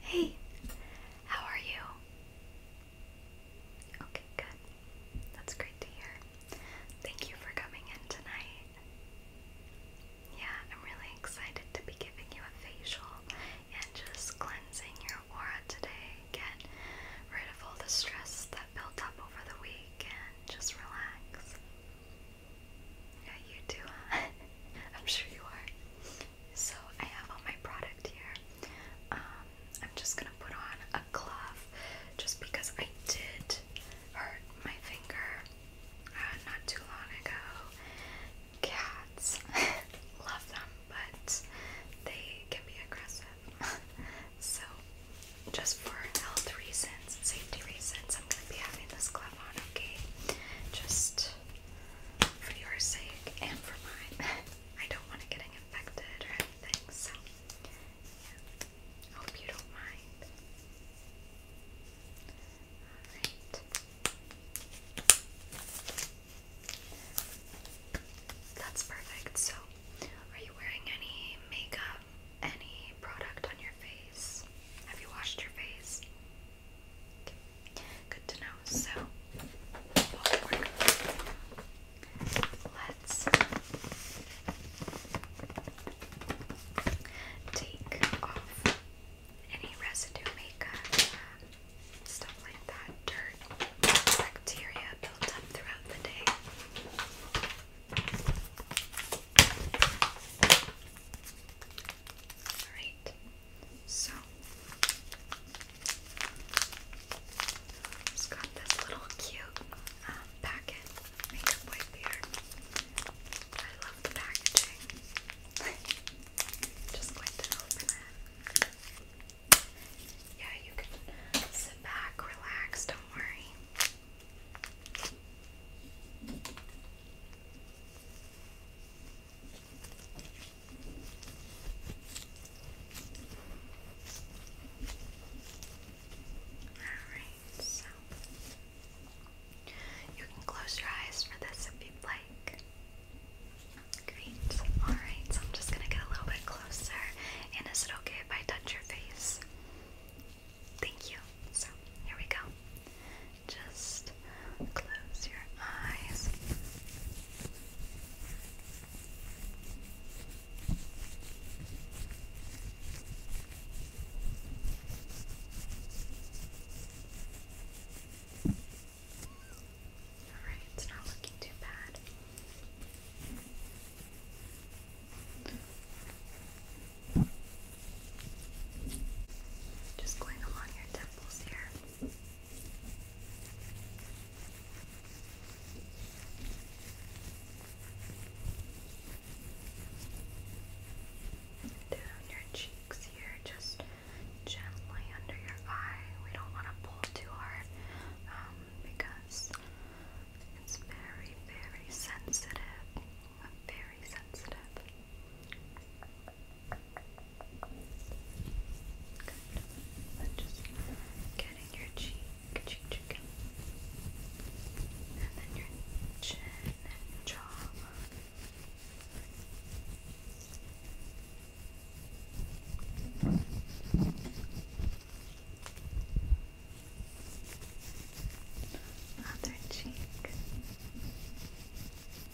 Hey, how are you? Okay, good. That's great to hear. Thank you for coming in tonight. Yeah, I'm really excited to be giving you a facial and just cleansing your aura today. Get rid of all the stress that built up over the week and just relax. Yeah, you too, I'm sure you are. So I have all my product here. Um, I'm just gonna put on a glove just because I did hurt my finger uh, not too long ago. Cats love them, but they can be aggressive. so, just for health reasons, safety reasons, I'm gonna be having this glove on, okay? Just for your sake and for mine. I don't want it getting infected or anything, so yeah. Hope you don't mind. Alright. That's perfect. So, are you wearing any makeup, any product on your face? Have you washed your face? Good to know. So, Let's take off any residue makeup, stuff like that, dirt, bacteria built up throughout the day. Alright, so it's got this little cute um, makeup wipe here. I love the packaging. Just going to open it. Yeah, you can sit back, relax, don't worry. Alright, so you can close your eyes for this if you'd like. Great. Alright, so I'm just gonna get a little bit closer. And is okay if I touch your face? Thank you. So, here we go just close your eyes. Alright, it's not looking too bad. Just going along your temples here. Down your cheeks here, just gently under your eye. We don't want to pull too hard um, because it's very, very sensitive. Very sensitive. Good. And just getting your cheek, and then your chin and jaw. Other cheek. And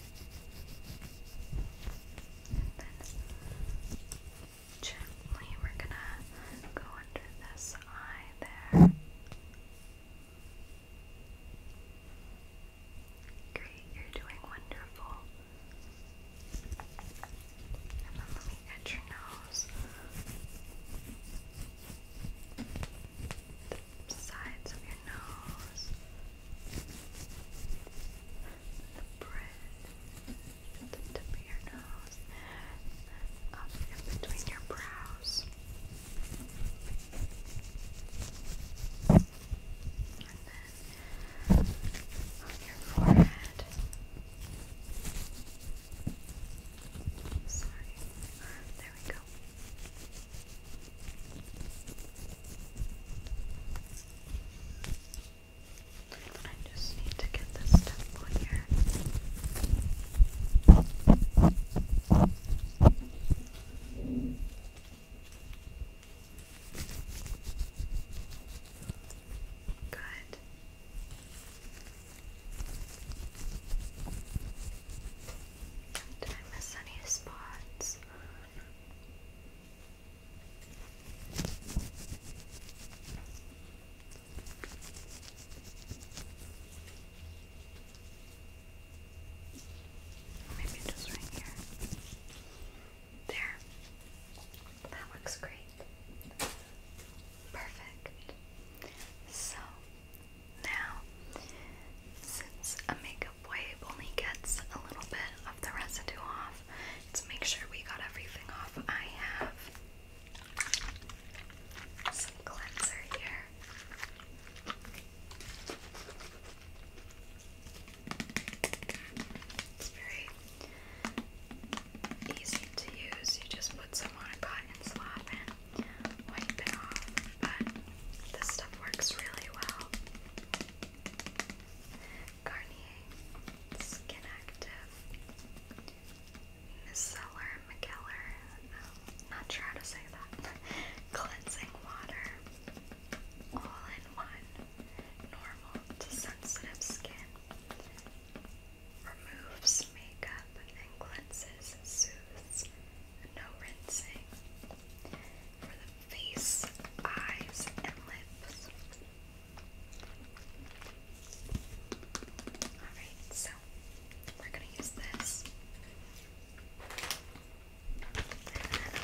gently we're gonna go under this eye there. Great, you're doing wonderful. And let me get your nose sides of your nose, the bridge, the tip of your nose, up between your brows, and then on your forehead. there we go. I just need to get this temple here. Good. Did I miss spots? Maybe just right here. There. That looks great. Perfect. So, now, since a makeup wave only gets a little bit of the residue off, let's make sure we got everything off. I have some cleanser here. It's very easy to use. You just put some on a cotton swab and wipe it off. But this stuff works really well. Garnier, Skin Active, Micellar McKellar, um, oh, not sure how to say that, Cleansing Water, All in One, Normal to Sensitive Skin, Removes Makeup and Cleanses, Soothes, no rinsing for the face, eyes, and lips. Alright, so we're gonna use this.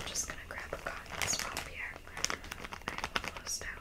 just gonna grab a cotton swab here. I have closed out.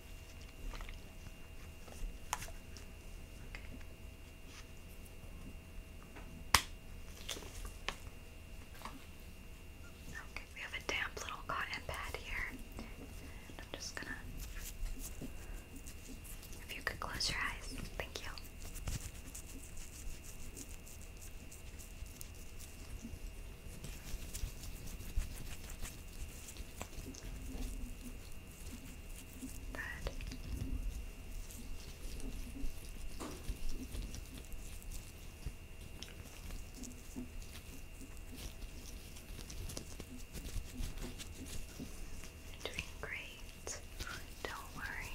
Okay, we have a damp little cotton pad here. I'm just gonna. If you could close your eyes, thank you. Good. you doing great. Don't worry.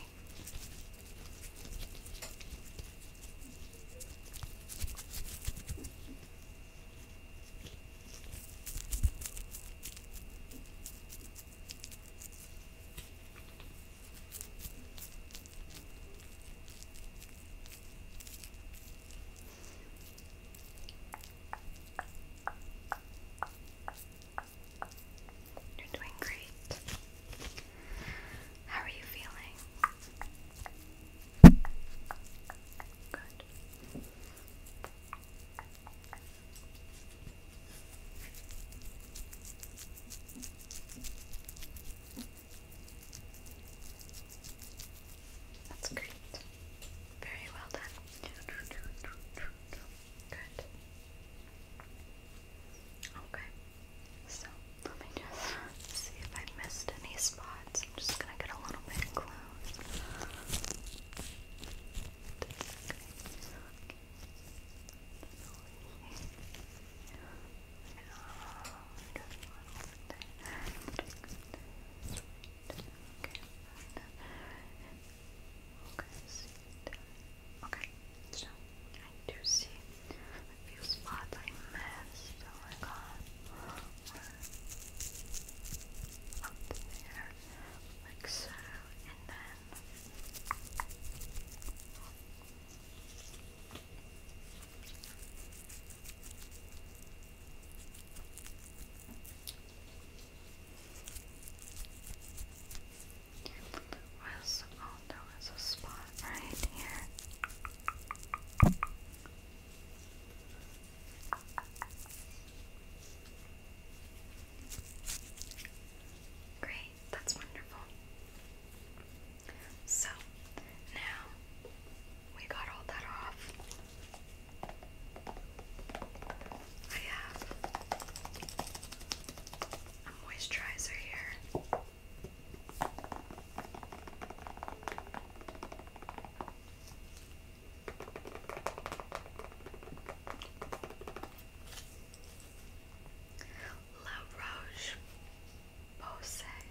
You're doing great. How are you feeling? Good. That's great. Very well done. Good. Okay. So let me just see if I missed any spots. I'm just gonna get a little bit close. Okay, so I do see a few spots I missed. Oh my god. Up there, like so, and then. Was, oh, there was a spot right here. Great, that's wonderful. So, now we got all that off. I have a moisturizer here. La Roche Posay,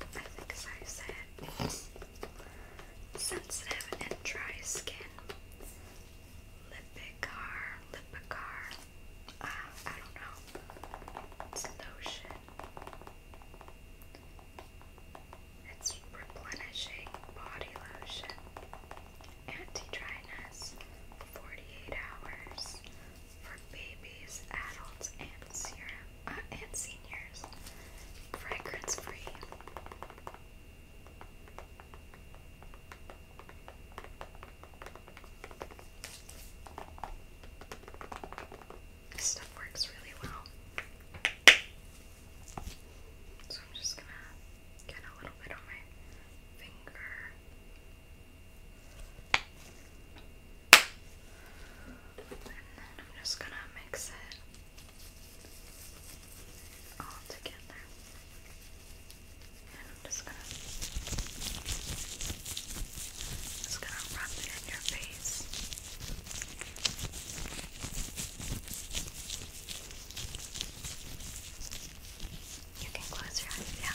I think is how Sensitive and dry skin. Lipicar, Lipicar. Uh, ah, I don't know. It's lotion. It's replenishing body lotion, anti-dryness, 48 hours for babies, adults, and uh, and seniors. Fragrance-free. This stuff works really well. So I'm just gonna get a little bit on my finger. And then I'm just gonna mix it all together. And I'm just gonna it's gonna rub it in your face. You can close your eyes, yeah.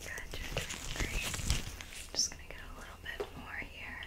Good, you just gonna get a little bit more here.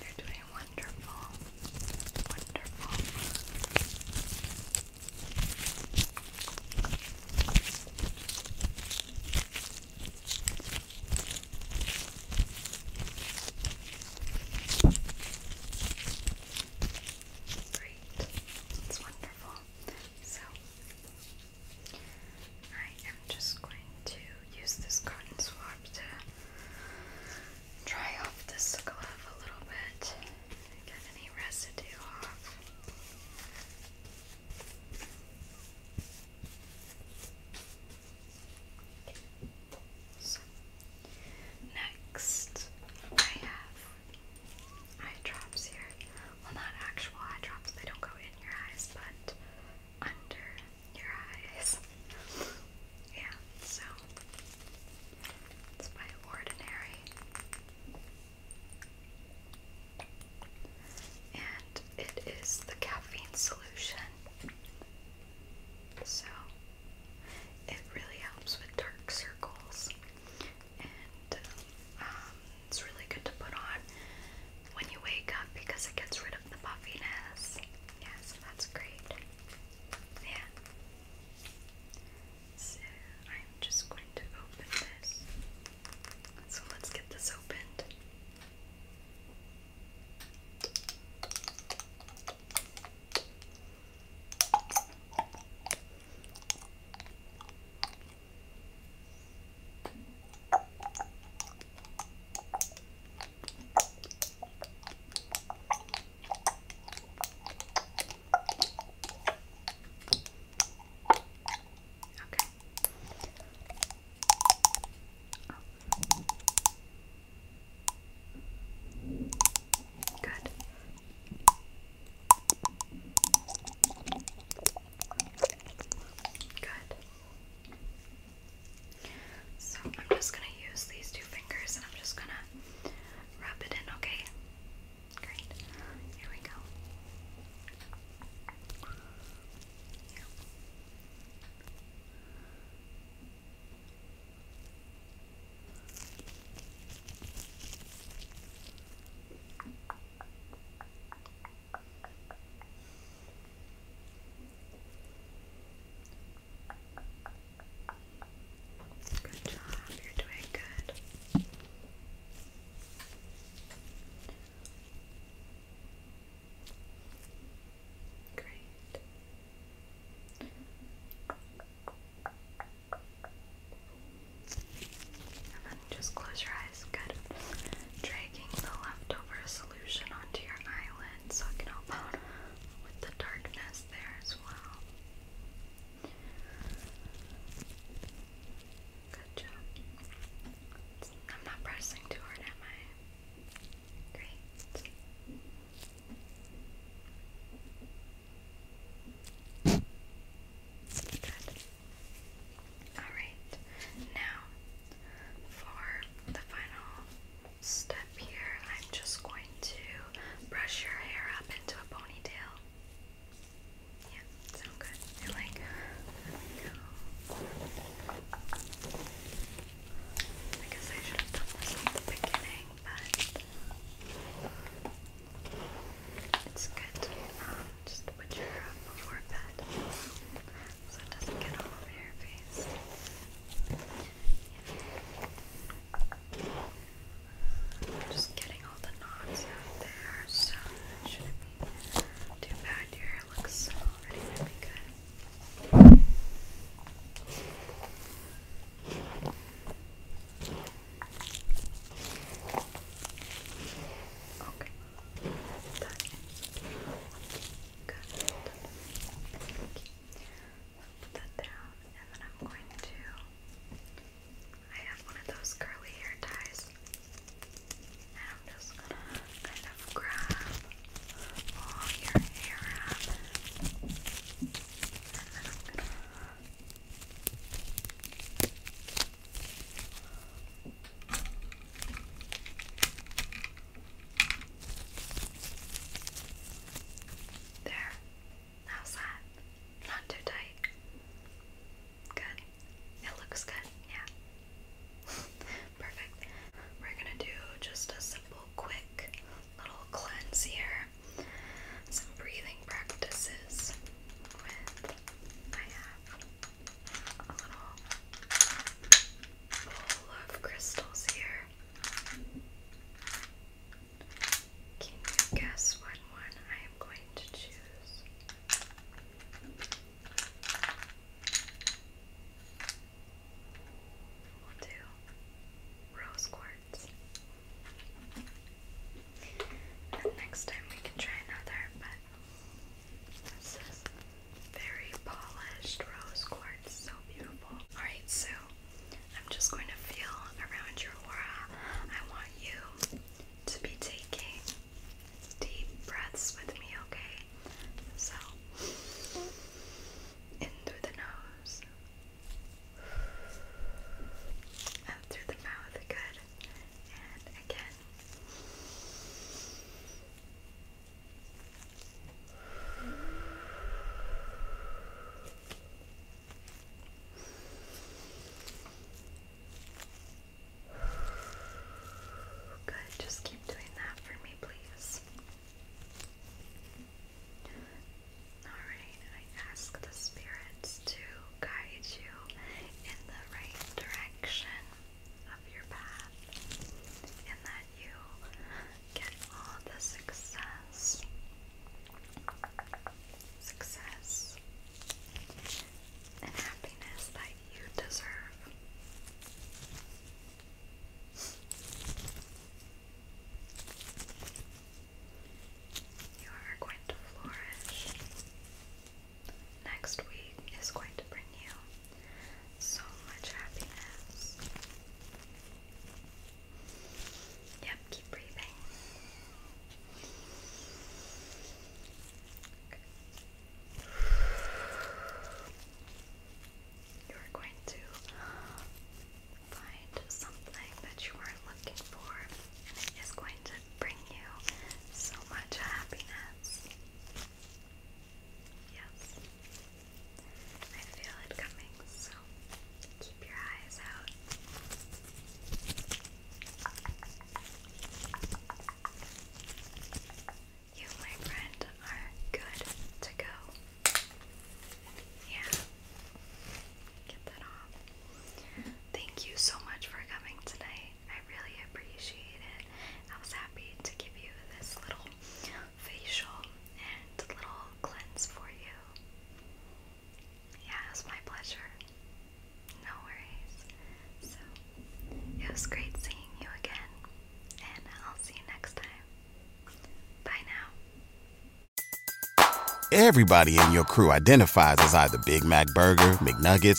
You're doing wonderful. Wonderful. Great. It's wonderful. So I am just going to use this cotton swab to dry off this glove a little bit get any residue off. next I have eye drops here well not actual eye they don't go in your eyes, but under your eyes. yeah, so it's by Ordinary. And it is the caffeine solution. So it really helps with dark circles. And um, it's really good to put on when you wake up because it gets rid of the puffiness. Yeah, that's great. Yeah. So I'm just going to open this. So let's get this opened. Okay. Oh. Good. Good. So I'm just going to use these two fingers and I'm just going to rub it in, okay? Great. Here we go. Okay. Good job, you're doing good. Great just close your eyes. Good. Dragging the leftover solution onto your eyelid so it can help out with the darkness there as well. Good job. I'm not pressing too hard, am I? Great. Good. Alright, now for the final step here, I'm just going to brush your hair up into a ponytail. Yeah, sound good. you like, I guess I should have done this at the beginning, but it's good. Um, just put your before bed so it doesn't get all over your face. Just getting all the knots out there, so too bad. Your hair looks already really good. Okay. Tak. Good. i have one of those curly hair ties, and I'm just gonna kind of grab all your hair up, and then there. How's that? Not too tight. Good. It looks good, yeah. Perfect. We're gonna do just a simple, quick little cleanse here. Some breathing practices with I have a little bowl of crystals here. Can you guess what one I am going to choose? We'll do rose quartz. next time we can try another, but this is very polished rose quartz, so beautiful. Alright, so I'm just going to feel around your I want you to be taking deep breaths with me, okay? So, in the nose, out through the mouth, good. And again, Good, just keep doing that for me, please. Alright, I ask the spirits to guide you in the right direction of your path and that you get all the success, success, and happiness that you deserve. You are going to flourish next week is going to bring you so much happiness. Yep, keep breathing. You're going to find something that you are looking for, and it is going to bring you so much happiness. Yes. I feel it coming, so keep your eyes out. You, my friend, are good to go. Yeah. Get that off. Thank you so much for coming today. I really appreciate it. I was happy to give you this little facial and little cleanse for you. Yeah, it was my pleasure. No worries. So, it was great seeing you again, and I'll see you next time. Bye now. Everybody in your crew identifies as either Big Mac Burger, McNuggets,